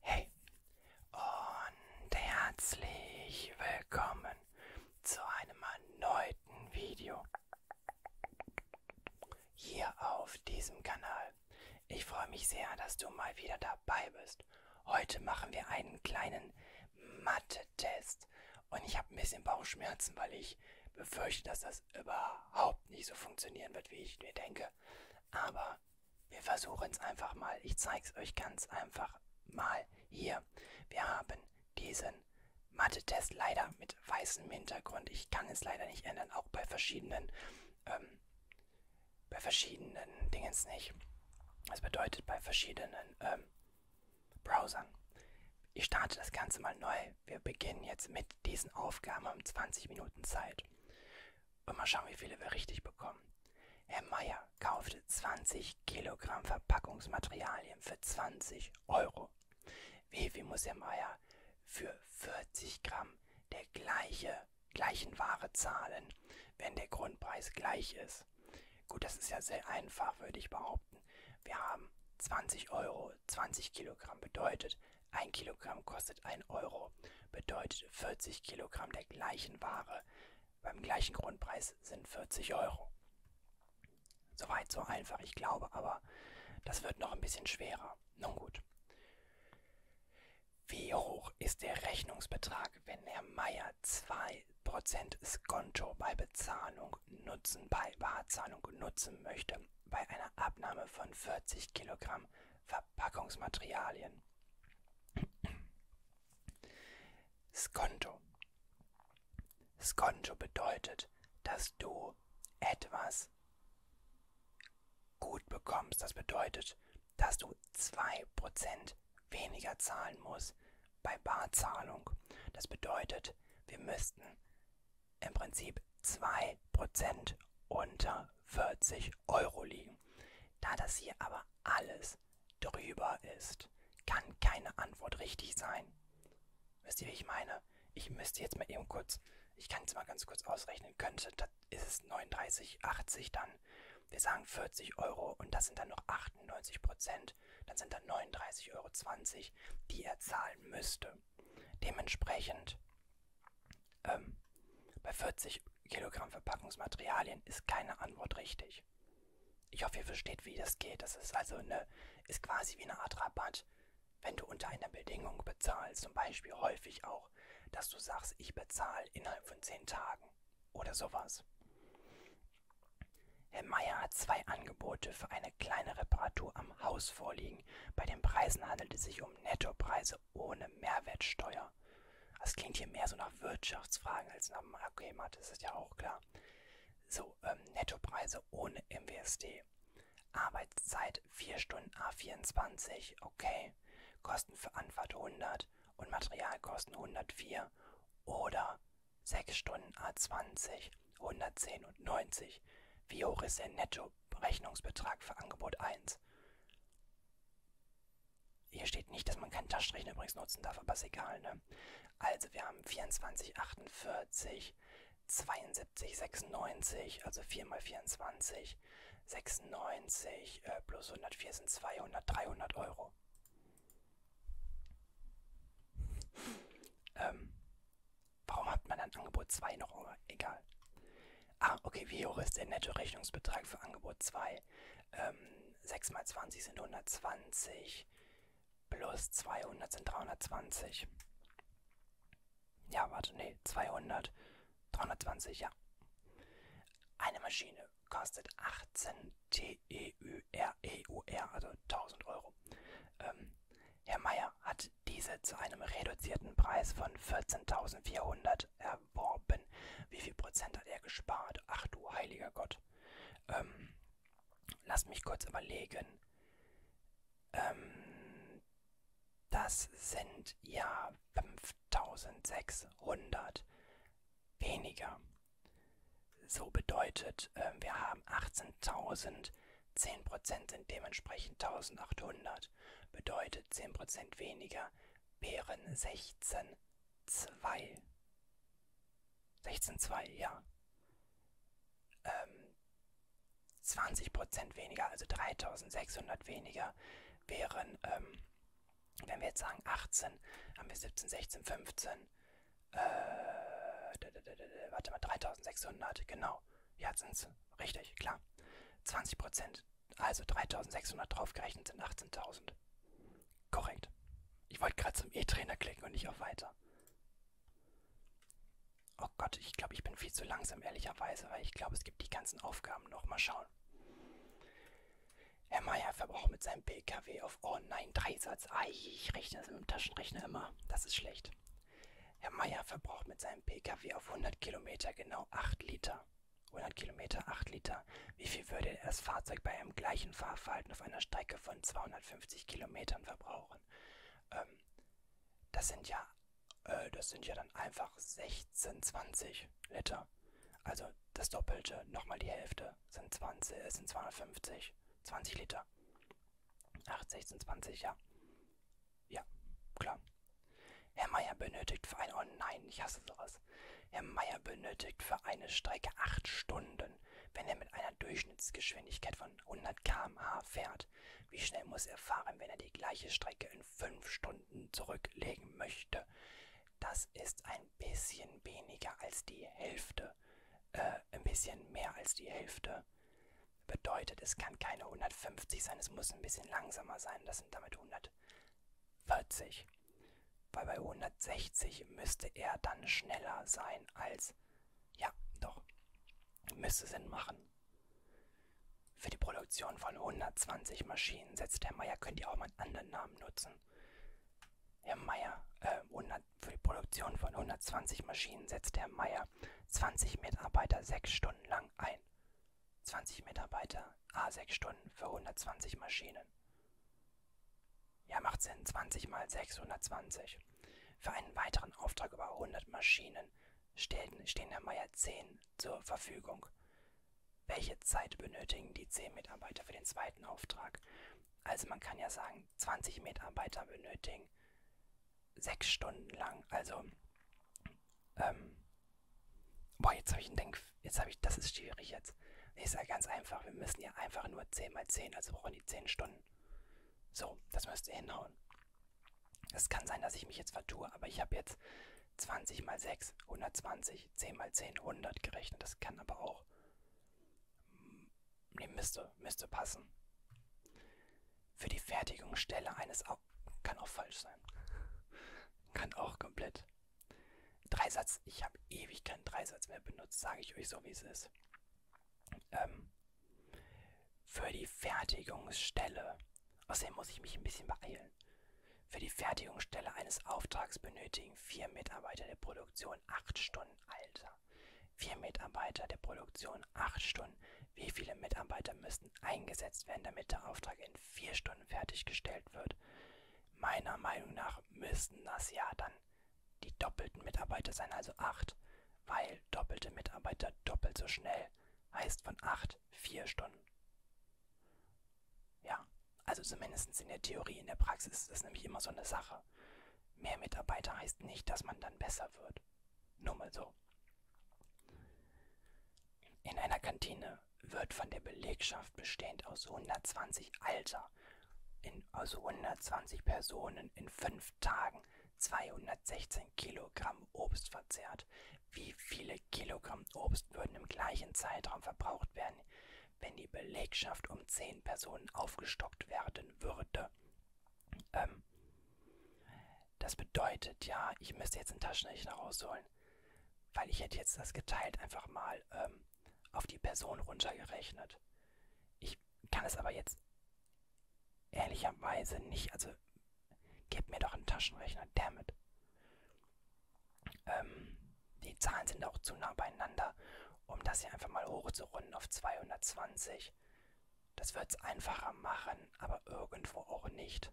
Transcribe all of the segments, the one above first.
Hey und herzlich willkommen zu einem erneuten Video hier auf diesem Kanal. Ich freue mich sehr, dass du mal wieder dabei bist. Heute machen wir einen kleinen Mathe-Test und ich habe ein bisschen Bauchschmerzen, weil ich befürchte, dass das das überhaupt nicht so funktionieren wird, wie ich mir denke. Aber wir versuchen es einfach mal. Ich zeige es euch ganz einfach mal hier. Wir haben diesen Mathe-Test leider mit weißem Hintergrund. Ich kann es leider nicht ändern, auch bei verschiedenen, ähm, bei verschiedenen Dingens nicht. Das bedeutet bei verschiedenen ähm, Browsern. Ich starte das Ganze mal neu okay, wir beginnen jetzt mit diesen Aufgaben um 20 Minuten Zeit. Und mal schauen, wie viele wir richtig bekommen. Herr Meier kaufte 20 Kilogramm Verpackungsmaterialien für 20 Euro. Wie viel muss Herr Meier für 40 Gramm der gleiche, gleichen Ware zahlen, wenn der Grundpreis gleich ist? Gut, das ist ja sehr einfach, würde ich behaupten behaupten, wir haben 20 Euro, 20 Kilogramm bedeutet, 1 Kilogramm kostet 1 Euro, bedeutet 40 Kilogramm der gleichen Ware beim gleichen Grundpreis sind 40 Euro. Soweit so einfach, ich glaube, aber das wird noch ein bisschen schwerer. Nun gut. Wie hoch ist der Rechnungsbetrag, wenn Herr Meier 2% Skonto bei Bezahlung Zahlung nutzen bei Barzahlung nutzen möchte, bei einer Abnahme von 40 Kilogramm Verpackungsmaterialien. Skonto. Skonto bedeutet, dass du etwas gut bekommst. Das bedeutet, dass du 2% weniger zahlen musst bei Barzahlung. Das bedeutet, wir müssten im Prinzip 2% unter 40 Euro liegen. Da das hier aber alles drüber ist, kann keine Antwort richtig sein. Wisst ihr, wie ich meine? Ich müsste jetzt mal eben kurz, ich kann es mal ganz kurz ausrechnen, könnte, das ist es 39,80 dann. Wir sagen 40 Euro und das sind dann noch 98 Prozent. Prozent, dann sind da 39,20 Euro, die er zahlen müsste. Dementsprechend ähm, bei 40 Kilogramm Verpackungsmaterialien ist keine Antwort richtig. Ich hoffe, ihr versteht, wie das geht. Das ist also eine, ist quasi wie eine Art Rabatt, wenn du unter einer Bedingung bezahlst. Zum Beispiel häufig auch, dass du sagst, ich bezahle innerhalb von 10 Tagen oder sowas. Herr Meier hat zwei Angebote für eine kleine Reparatur am Haus vorliegen. Bei den Preisen handelt es sich um Nettopreise ohne Mehrwertsteuer. Das klingt hier mehr so nach Wirtschaftsfragen als nach Marktgemat, das ist ja auch klar. So, ähm, Nettopreise ohne MWSD. Arbeitszeit 4 Stunden A24, okay. Kosten für Anfahrt 100 und Materialkosten 104 oder 6 Stunden A20, ah, 110 und 90. Wie hoch ist der Netto-Rechnungsbetrag für Angebot 1? Hier steht nicht, dass man keinen Taschenrechner übrigens nutzen darf, aber ist egal, ne? Also wir haben 24, 48, 72, 96, also 4 mal 24, 96 äh, plus 104 sind 200, 300 Euro. Ähm, warum hat man dann Angebot 2 noch? Egal. Ah, okay, wie hoch ist der Netto-Rechnungsbetrag für Angebot 2? Ähm, 6 mal 20 sind 120 plus 200 sind 320. Ja, warte, nee, 200, 320, ja. Eine Maschine kostet 18 TEU. EUR, also 1000 Euro. Ähm, Herr Mayer hat diese zu einem reduzierten Preis von 14.400 erworben. Wie viel Prozent hat er gespart? Ach du heiliger Gott. Ähm, lass mich kurz überlegen. Ähm, das sind ja 5600 weniger. So bedeutet, äh, wir haben 18.000, 10% sind dementsprechend 1800, bedeutet 10% weniger wären 16, 2. 16, 2, ja. Ähm, 20% weniger, also 3600 weniger wären, ähm, wenn wir jetzt sagen 18, haben wir 17, 16, 15, äh, warte mal, 3600, genau. Ja, sind's. Richtig, klar. 20%, also 3600 draufgerechnet sind 18.000. Korrekt. Ich wollte gerade zum E-Trainer klicken und nicht auf Weiter. Oh Gott, ich glaube, ich bin viel zu langsam, ehrlicherweise, weil ich glaube, es gibt die ganzen Aufgaben noch. Mal schauen. Herr Meier verbraucht mit seinem PKW auf Oh nein, Dreisatz. Ei, ich rechne das mit dem Taschenrechner immer. Das ist schlecht. Herr Meier verbraucht mit seinem PKW auf 100 Kilometer genau 8 Liter. 100 Kilometer 8 Liter. Wie viel würde das Fahrzeug bei einem gleichen Fahrverhalten auf einer Strecke von 250 Kilometern verbrauchen? Ähm, das sind ja, äh, das sind ja dann einfach 16, 20 Liter. Also das Doppelte, nochmal die Hälfte, sind, 20, äh, sind 250, 20 Liter. 80 sind 20, ja. Ja, klar. Herr Meier benötigt für eine, oh nein, ich hasse sowas. Herr Meier benötigt für eine Strecke 8 Stunden, wenn er mit einer Durchschnittsgeschwindigkeit von 100 km/h fährt. Wie schnell muss er fahren, wenn er die gleiche Strecke in 5 Stunden zurücklegen möchte? Das ist ein ein bisschen weniger als die Hälfte, äh, ein bisschen mehr als die Hälfte. Bedeutet, es kann keine 150 sein, es muss ein bisschen langsamer sein. Das sind damit 140. Weil bei 160 müsste er dann schneller sein als. Ja, doch. Müsste Sinn machen. Für die Produktion von 120 Maschinen setzt Herr Meyer, könnt ihr auch mal einen anderen Namen nutzen. Herr Meier, äh, 100, für die Produktion von 120 Maschinen setzte Herr Meier 20 Mitarbeiter sechs Stunden lang ein. 20 Mitarbeiter, a ah, 6 Stunden für 120 Maschinen. Ja, macht Sinn, 20 mal 620. Für einen weiteren Auftrag über 100 Maschinen stehen, stehen Herr Meier 10 zur Verfügung welche Zeit benötigen die 10 Mitarbeiter für den zweiten Auftrag. Also man kann ja sagen, 20 Mitarbeiter benötigen sechs Stunden lang. Also, ähm, boah, jetzt habe ich einen Denk, jetzt habe ich, das ist schwierig jetzt. Nee, ist ja ganz einfach. Wir müssen ja einfach nur 10 mal 10, also brauchen die 10 Stunden. So, das müsste hinhauen. Es kann sein, dass ich mich jetzt vertue, aber ich habe jetzt 20 mal 6, 120. 20, 10 mal 10, 100 gerechnet. Das kann aber auch, mm, nee, müsste, müsste passen. Für die Fertigungsstelle eines, Au kann auch falsch sein. kann auch komplett. Dreisatz, ich habe ewig keinen Dreisatz mehr benutzt, sage ich euch so, wie es ist. Ähm, für die Fertigungsstelle. Außerdem muss ich mich ein bisschen beeilen können. Für die Fertigungsstelle eines Auftrags benötigen vier Mitarbeiter der Produktion acht Stunden Alter. Vier Mitarbeiter der Produktion acht Stunden. Wie viele Mitarbeiter müssen eingesetzt werden, damit der Auftrag in vier Stunden fertiggestellt wird? Meiner Meinung nach müssten das ja dann die doppelten Mitarbeiter sein, also acht, weil doppelte Mitarbeiter doppelt so schnell heißt von acht vier Stunden. Ja, also zumindest in der Theorie, in der Praxis ist das nämlich immer so eine Sache. Mehr Mitarbeiter heißt nicht, dass man dann besser wird. Nur mal so. In einer Kantine wird von der Belegschaft bestehend aus 120 Alter, in, aus also 120 Personen in fünf Tagen 216 Kilogramm Obst verzehrt, wie viele Kilogramm Obst würden im gleichen Zeitraum verbraucht werden, wenn die Belegschaft um 10 Personen aufgestockt werden würde? Ähm, das bedeutet ja, ich müsste jetzt einen Taschenrechner rausholen, weil ich hätte jetzt das geteilt einfach mal ähm, auf die Person runtergerechnet. Ich kann es aber jetzt ehrlicherweise nicht, also gib mir doch einen Taschenrechner, dammit. Ähm, die Zahlen sind auch zu nah beieinander, um das hier einfach mal hochzurunden auf 220. Das wird es einfacher machen, aber irgendwo auch nicht.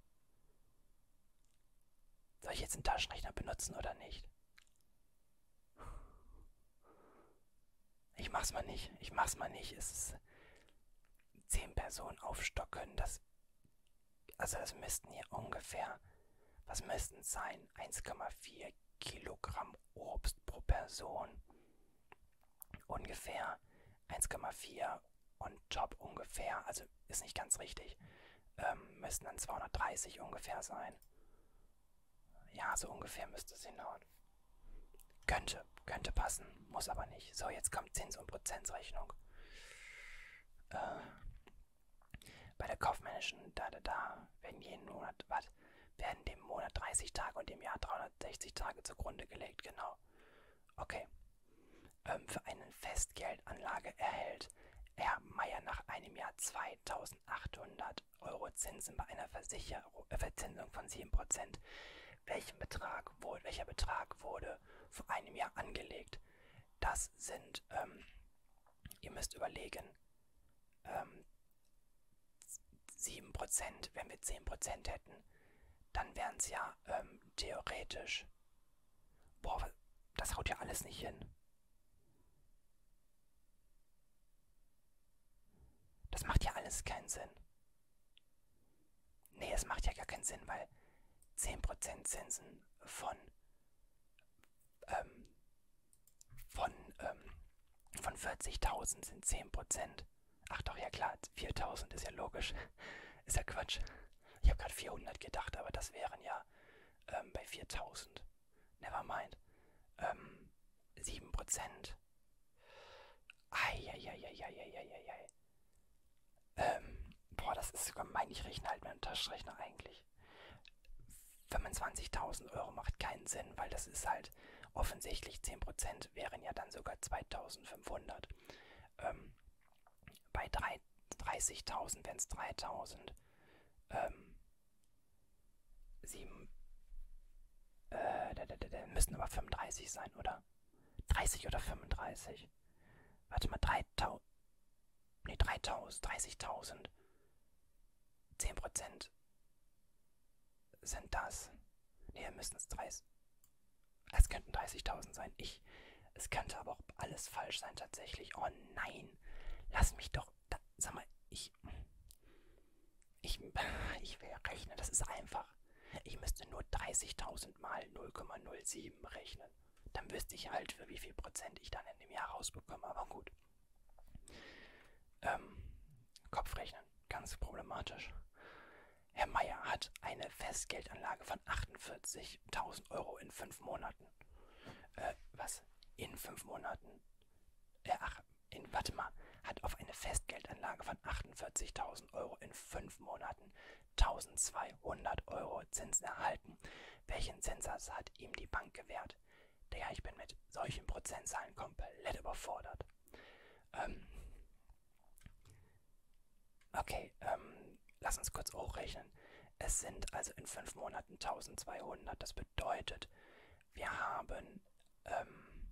Soll ich jetzt einen Taschenrechner benutzen oder nicht? Ich mach's mal nicht. Ich mach's mal nicht. Es ist zehn Personen aufstocken. Das also das müssten hier ungefähr, was müssten es sein? 1,4 Kilogramm Obst pro Person. Ungefähr 1,4 on top ungefähr, also ist nicht ganz richtig, ähm, müssten dann 230 ungefähr sein. Ja, so ungefähr müsste es hinhauen. Könnte, könnte passen, muss aber nicht. So, jetzt kommt Zins- und Prozentrechnung äh, bei der kaufmännischen da da da werden jeden Monat, was, werden dem Monat 30 Tage und dem Jahr 360 Tage zugrunde gelegt, genau. Okay. Ähm, für eine Festgeldanlage erhält Herr Meier nach einem Jahr 2800 Euro Zinsen bei einer Versicherung, äh, Verzinsung von 7%. Welchen Betrag wurde, welcher Betrag wurde vor einem Jahr angelegt? Das sind, ähm, ihr müsst überlegen, ähm, 7%, wenn wir 10% hätten, dann wären es ja ähm, theoretisch. Boah, das haut ja alles nicht hin. Das macht ja alles keinen Sinn. Nee, es macht ja gar keinen Sinn, weil 10% Zinsen von, ähm, von, ähm, von 40.000 sind 10%. Ach doch, ja klar, 4.000 ist ja logisch. Ist ja Quatsch. Ich habe gerade 400 gedacht, aber das wären ja ähm, bei 4.000. Nevermind. Ähm, 7%. Eieieiei. Ähm, boah, das ist gemein. Ich rechne halt mit einem Taschenrechner eigentlich. 25.000 Euro macht keinen Sinn, weil das ist halt offensichtlich 10% wären ja dann sogar 2.500. Ähm, bei 30.000 wären es 3.000. Ähm, 7. Äh, da, da, da, müssen aber 35 sein, oder? 30 oder 35? 30. Warte mal, 3000. Nee, 3000, 30.000. 10% sind das. Nee, müssen es 30. Es könnten 30.000 sein. Ich. Es könnte aber auch alles falsch sein, tatsächlich. Oh nein. Lass mich doch. Da, sag mal, ich. Ich, ich will rechnen. Das ist einfach. Ich müsste nur 30.000 mal 0,07 rechnen. Dann wüsste ich halt, für wie viel Prozent ich dann in dem Jahr rausbekomme. Aber gut. Ähm, Kopfrechnen, ganz problematisch. Herr Meier hat eine Festgeldanlage von 48.000 Euro in fünf Monaten. Äh, was? In fünf Monaten? Äh, ach, in, warte mal. Hat auf eine Festgeldanlage von 48.000 Euro in fünf Monaten 1200 Euro Zinsen erhalten. Welchen Zinssatz hat ihm die Bank gewährt? Digga, ich bin mit solchen Prozentzahlen komplett überfordert. Ähm okay, ähm, lass uns kurz hochrechnen. Es sind also in fünf Monaten 1200. Das bedeutet, wir haben ähm,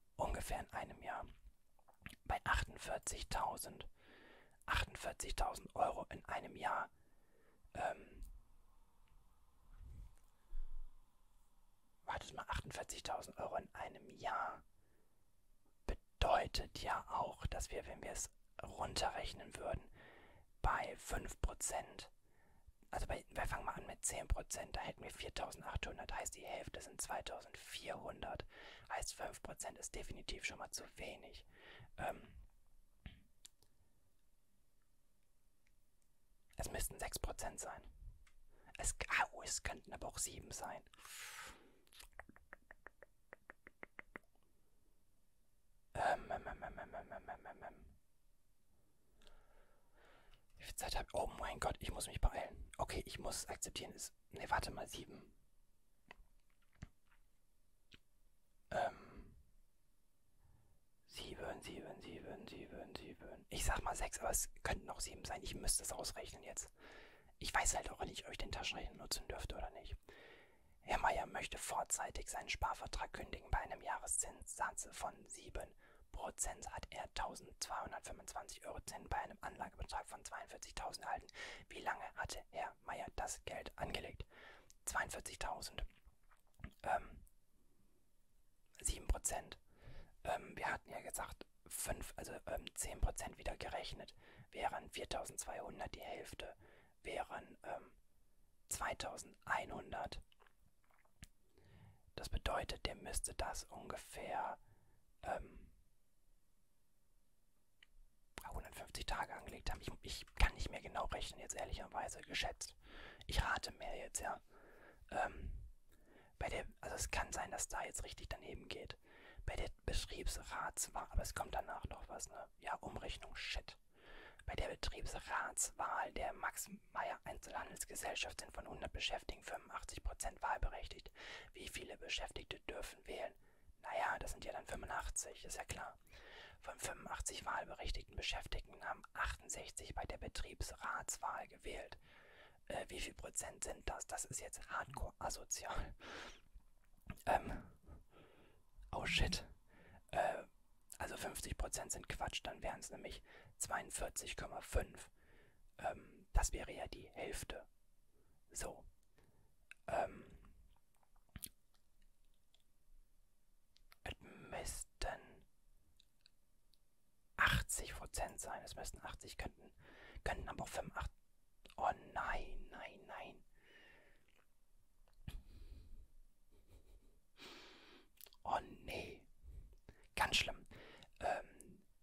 ungefähr in einem Jahr bei 48.000 48.000 Euro in einem Jahr. Ähm, wartet mal, 48.000 Euro in einem Jahr bedeutet ja auch, dass wir, wenn wir es runterrechnen würden, bei 5%, also bei, wir fangen mal an mit 10%, da hätten wir 4.800, heißt die Hälfte sind 2.400 hat. Heißt 5% ist definitiv schon mal zu wenig. Ähm, es müssten 6% sein. Es, oh, es könnten aber auch 7 sein. Ähm ähm, ähm, ähm, ähm, ähm, ähm, ähm, ähm. Wie viel Zeit habe ich? Oh mein Gott, ich muss mich beeilen. Okay, ich muss akzeptieren, es 6. Ne, warte mal, 7. Ähm. 7, 7, 7, 7, 7. Ich sag mal 6, aber es könnten noch 7 sein. Ich müsste es ausrechnen jetzt. Ich weiß halt auch nicht, ob ich den Taschenrechner nutzen dürfte oder nicht. Herr Meier möchte vorzeitig seinen Sparvertrag kündigen. Bei einem Jahreszinssatz von 7% hat er 1000 2.225 Euro Zinn bei einem Anlagebetrag von 42.000 erhalten. Wie lange hatte Herr Meier das Geld angelegt? 42.000. Ähm, 7%. Ähm, wir hatten ja gesagt, 5, also ähm, 10% wieder gerechnet, wären 4.200 die Hälfte, wären ähm, 2.100. Das bedeutet, der müsste das ungefähr ähm, 150 Tage angelegt haben. Ich, ich kann nicht mehr genau rechnen, jetzt ehrlicherweise geschätzt. Ich rate mehr jetzt, ja. Ähm, bei der, also es kann sein, dass da jetzt richtig daneben geht. Bei der Betriebsratswahl, aber es kommt danach noch was, ne? Ja, Umrechnung, shit. Bei der Betriebsratswahl der Max Meyer Einzelhandelsgesellschaft sind von 100 Beschäftigten Marketing 85% wahlberechtigt. Wie viele Beschäftigte dürfen wählen? Naja, das sind ja dann 85, ist ja klar. Von 85 wahlberechtigten Beschäftigten haben 68 bei der Betriebsratswahl gewählt. Äh, wie viel Prozent sind das? Das ist jetzt hardcore asozial. Ähm. Oh shit. Äh, also 50% sind Quatsch, dann wären es nämlich 42,5. Ähm, ähm, das wäre ja die Hälfte. So. Ähm, es müssten 80% sein. Es müssten 80 könnten. Könnten aber auch 85. Oh nein, nein, nein. Oh nee. Ganz schlimm. Ähm,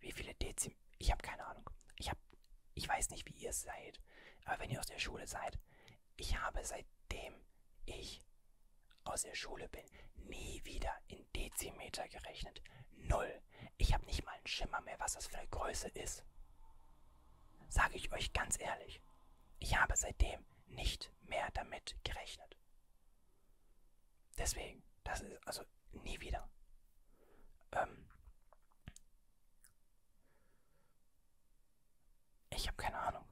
Wie viele Dezim... Ich habe keine Ahnung. Ich, hab, ich weiß nicht, wie ihr es seid. Aber wenn ihr aus der Schule seid, ich habe seitdem ich aus der Schule bin, nie wieder in Dezimeter gerechnet. Null. Ich habe nicht mal einen Schimmer mehr, was das für eine Größe ist. Sage ich euch ganz ehrlich, ich habe seitdem nicht mehr damit gerechnet. Deswegen, das ist also nie wieder. Ähm ich habe keine Ahnung.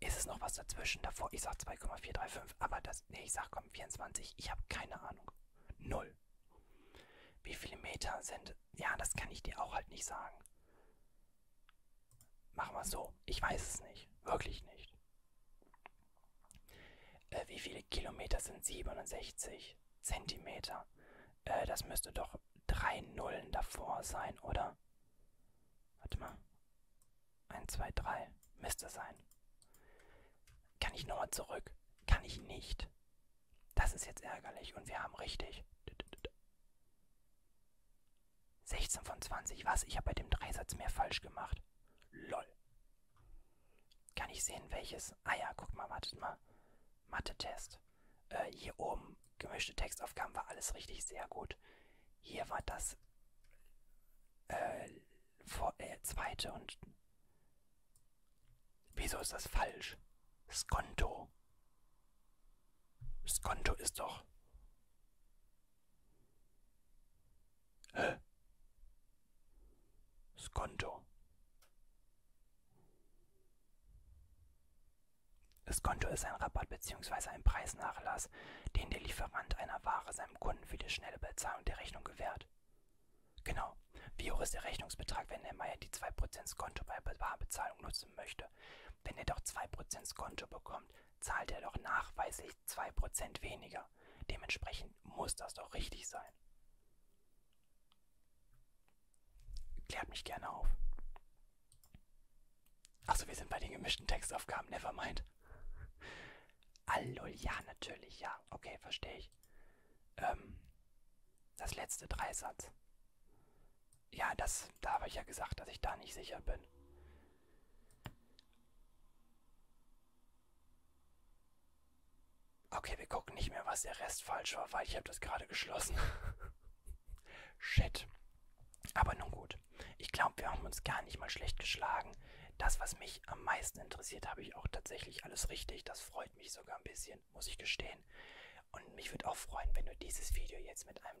Ist es noch was dazwischen? Davor, ich sag 2,435, aber das, nee, ich sag komm, 24, ich habe keine Ahnung. Null. Wie viele Meter sind, ja, das kann ich dir auch halt nicht sagen. Machen wir es so. Ich weiß es nicht. Wirklich nicht. Äh, wie viele Kilometer sind 67 Zentimeter? Äh, das müsste doch drei Nullen davor sein, oder? Warte mal. 1, 2, 3. Müsste sein. Kann ich nochmal zurück? Kann ich nicht. Das ist jetzt ärgerlich und wir haben richtig. 16 von 20. Was? Ich habe bei dem Dreisatz mehr falsch gemacht. LOL. Kann ich sehen, welches? Ah ja, guck mal, wartet mal. Mathe-Test. Äh, hier oben, gemischte Textaufgaben, war alles richtig, sehr gut. Hier war das äh, vor, äh, zweite und... Wieso ist das falsch? Skonto. Skonto ist doch... Hä? Das Konto. Das Konto ist ein Rabatt bzw. ein Preisnachlass, den der Lieferant einer Ware seinem Kunden für die schnelle Bezahlung der Rechnung gewährt. Genau. Wie hoch ist der Rechnungsbetrag, wenn der Meier die 2% Konto bei Barbezahlung nutzen möchte? Wenn er doch 2% Konto bekommt, zahlt er doch nachweislich tatsächlich 2% weniger. Dementsprechend muss das doch richtig sein. Klärt mich gerne auf. Achso, wir sind bei den gemischten Textaufgaben, nevermind. Allol, ja, natürlich, ja. Okay, verstehe ich. Ähm, das letzte Dreisatz. Ja, das, da habe ich ja gesagt, dass ich da nicht sicher bin. Okay, wir gucken nicht mehr, was der Rest falsch war, weil ich habe das gerade geschlossen. Shit. Aber nun gut. Ich glaube, wir haben uns gar nicht mal schlecht geschlagen. Das, was mich am meisten interessiert, habe ich auch tatsächlich alles richtig. Das freut mich sogar ein bisschen, muss ich gestehen. Und mich würde auch freuen, wenn du dieses Video jetzt mit einem